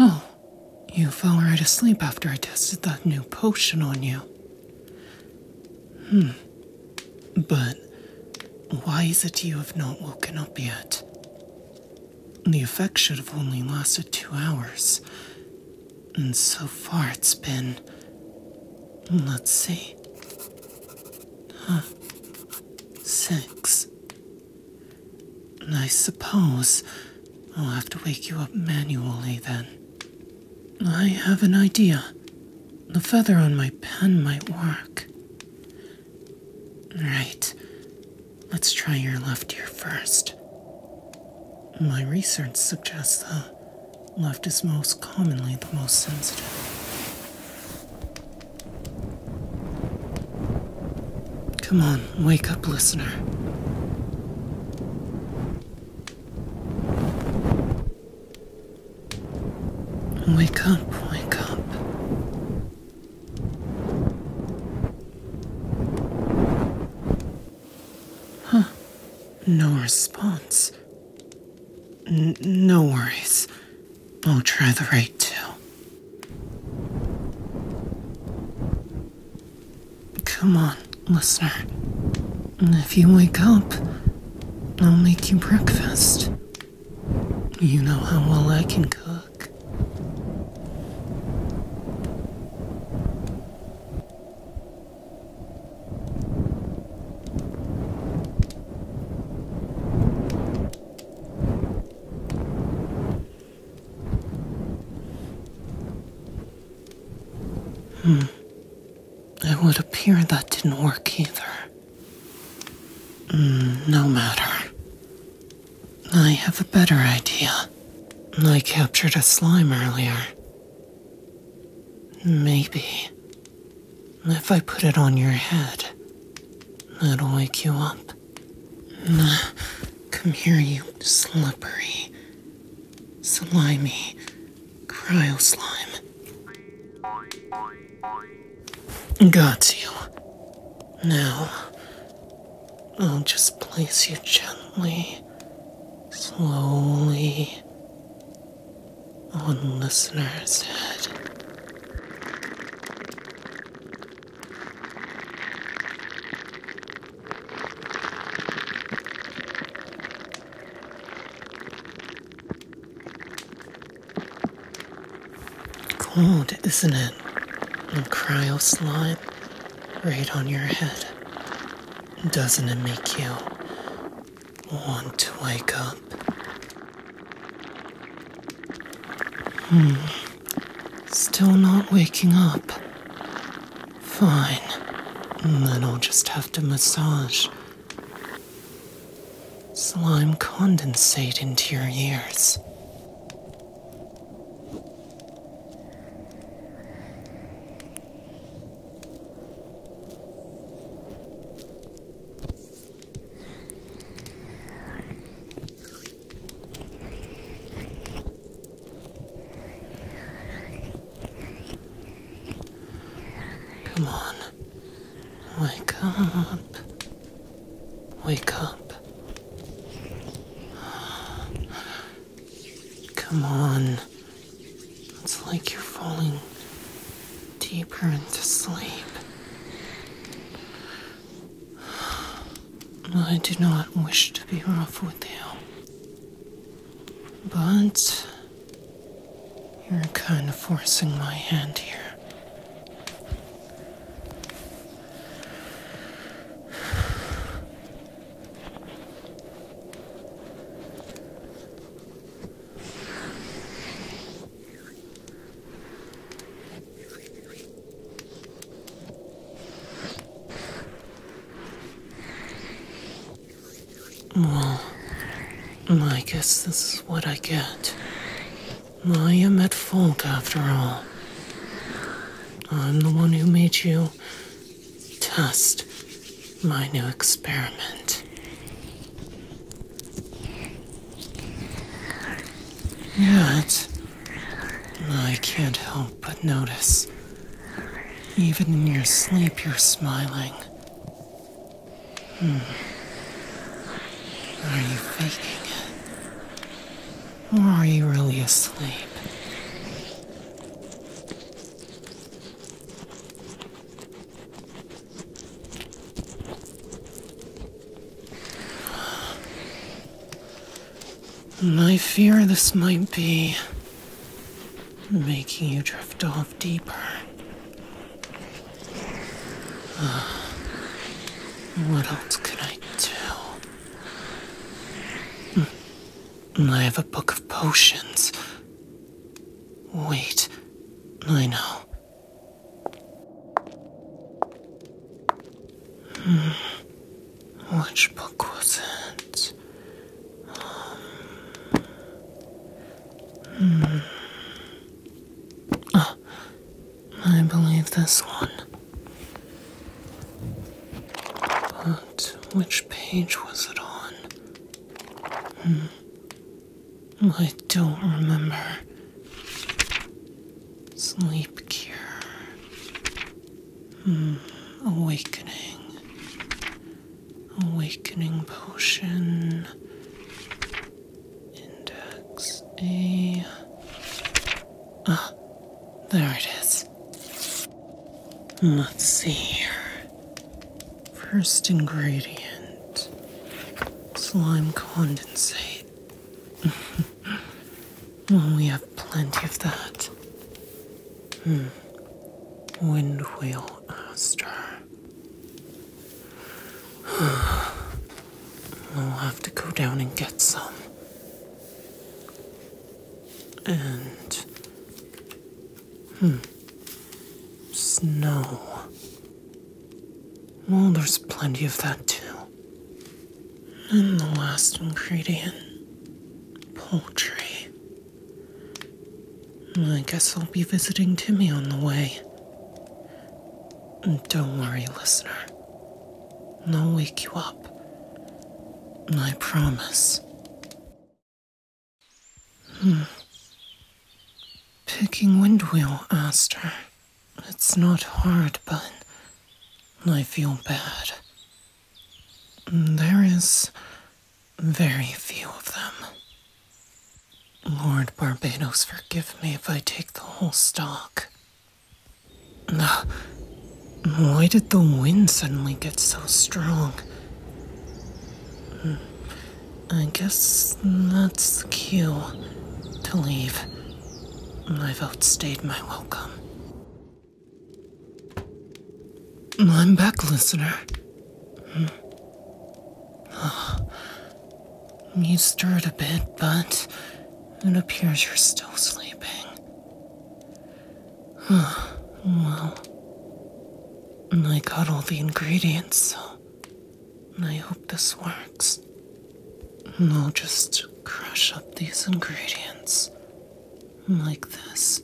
Oh, you fell right asleep after I tested that new potion on you. Hmm. But why is it you have not woken up yet? The effect should have only lasted two hours. And so far it's been. Let's see. Huh six. And I suppose I'll have to wake you up manually then. I have an idea. The feather on my pen might work. Right. Let's try your left ear first. My research suggests the left is most commonly the most sensitive. Come on, wake up, listener. Wake up, wake up. Huh. No response no worries. I'll try the right tail. Come on, listener. If you wake up, I'll make you breakfast. You know how well I can cook. Hmm. It would appear that didn't work either. Mm, no matter. I have a better idea. I captured a slime earlier. Maybe if I put it on your head, it'll wake you up. Come here, you slippery, slimy cryo slime. Got you. Now, I'll just place you gently, slowly on listener's head. Cold, isn't it? And cryo slime right on your head. Doesn't it make you want to wake up. Hmm. Still not waking up. Fine. Then I'll just have to massage slime condensate into your ears. Come on. Wake up. Wake up. Come on. It's like you're falling deeper into sleep. I do not wish to be rough with you, but you're kind of forcing my hand here. Well, I guess this is what I get. I am at fault after all. I'm the one who made you test my new experiment. Yet, I can't help but notice. Even in your sleep, you're smiling. Hmm. Are you faking it? Or are you really asleep? And I fear this might be making you drift off deeper. Uh, what else could I do? Hmm. I have a book of potions. Wait. I know. Hmm. Which book was it? Um, hmm. I believe this one. But which page was it on? Hmm. I don't remember. Sleep cure. Hmm. Awakening. Awakening potion. Index A. Ah, there it is. Hmm, let's see here. First ingredient slime condensate. well, we have plenty of that. Hmm. Wind wheel aster. I'll have to go down and get some. And Hmm. Snow. Well, there's plenty of that too. And the last ingredient poultry. I guess I'll be visiting Timmy on the way. Don't worry, listener. I'll wake you up. I promise. Hmm. Picking windwheel, Aster. It's not hard, but I feel bad. There is very few of them. Lord Barbados, forgive me if I take the whole stock. Ah, why did the wind suddenly get so strong? I guess that's the cue to leave. I've outstayed my welcome. I'm back, listener. Hmm. You stirred a bit, but it appears you're still sleeping well, I got all the ingredients, so I hope this works. And I'll just crush up these ingredients like this,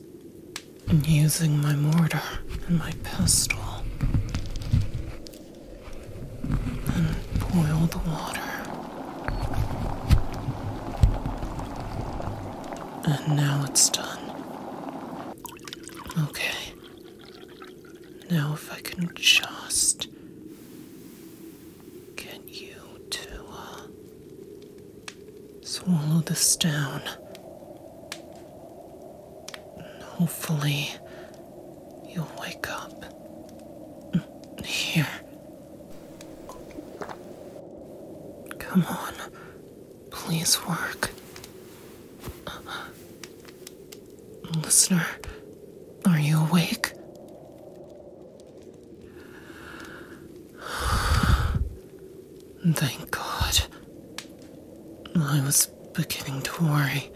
using my mortar and my pestle, and boil the water. And now it's done. Okay. Now, if I can just get you to uh, swallow this down. hopefully, you'll wake up. Mm, here. Come on. Please work. Uh-uh. Listener, are you awake? Thank God. I was beginning to worry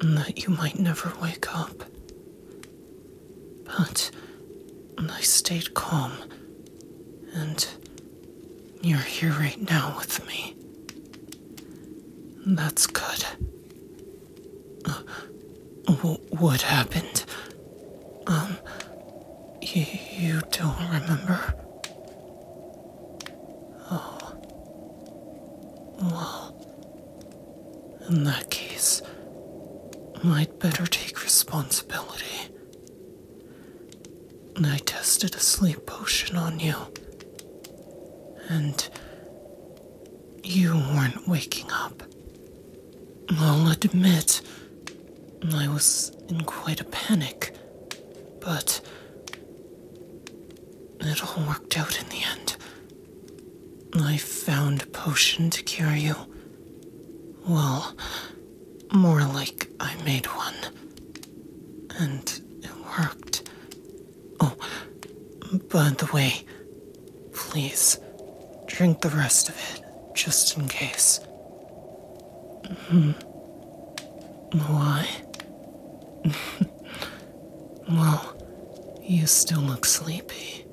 that you might never wake up. But I stayed calm and you're here right now with me. That's good. Uh, what happened? Um, you don't remember? Oh. Well, in that case, I'd better take responsibility. And I tested a sleep potion on you. And you weren't waking up. I'll admit, I was in quite a panic, but it all worked out in the end. I found a potion to cure you, well, more like I made one. And it worked. Oh, by the way, please drink the rest of it just in case. Hmm. Why? well, you still look sleepy.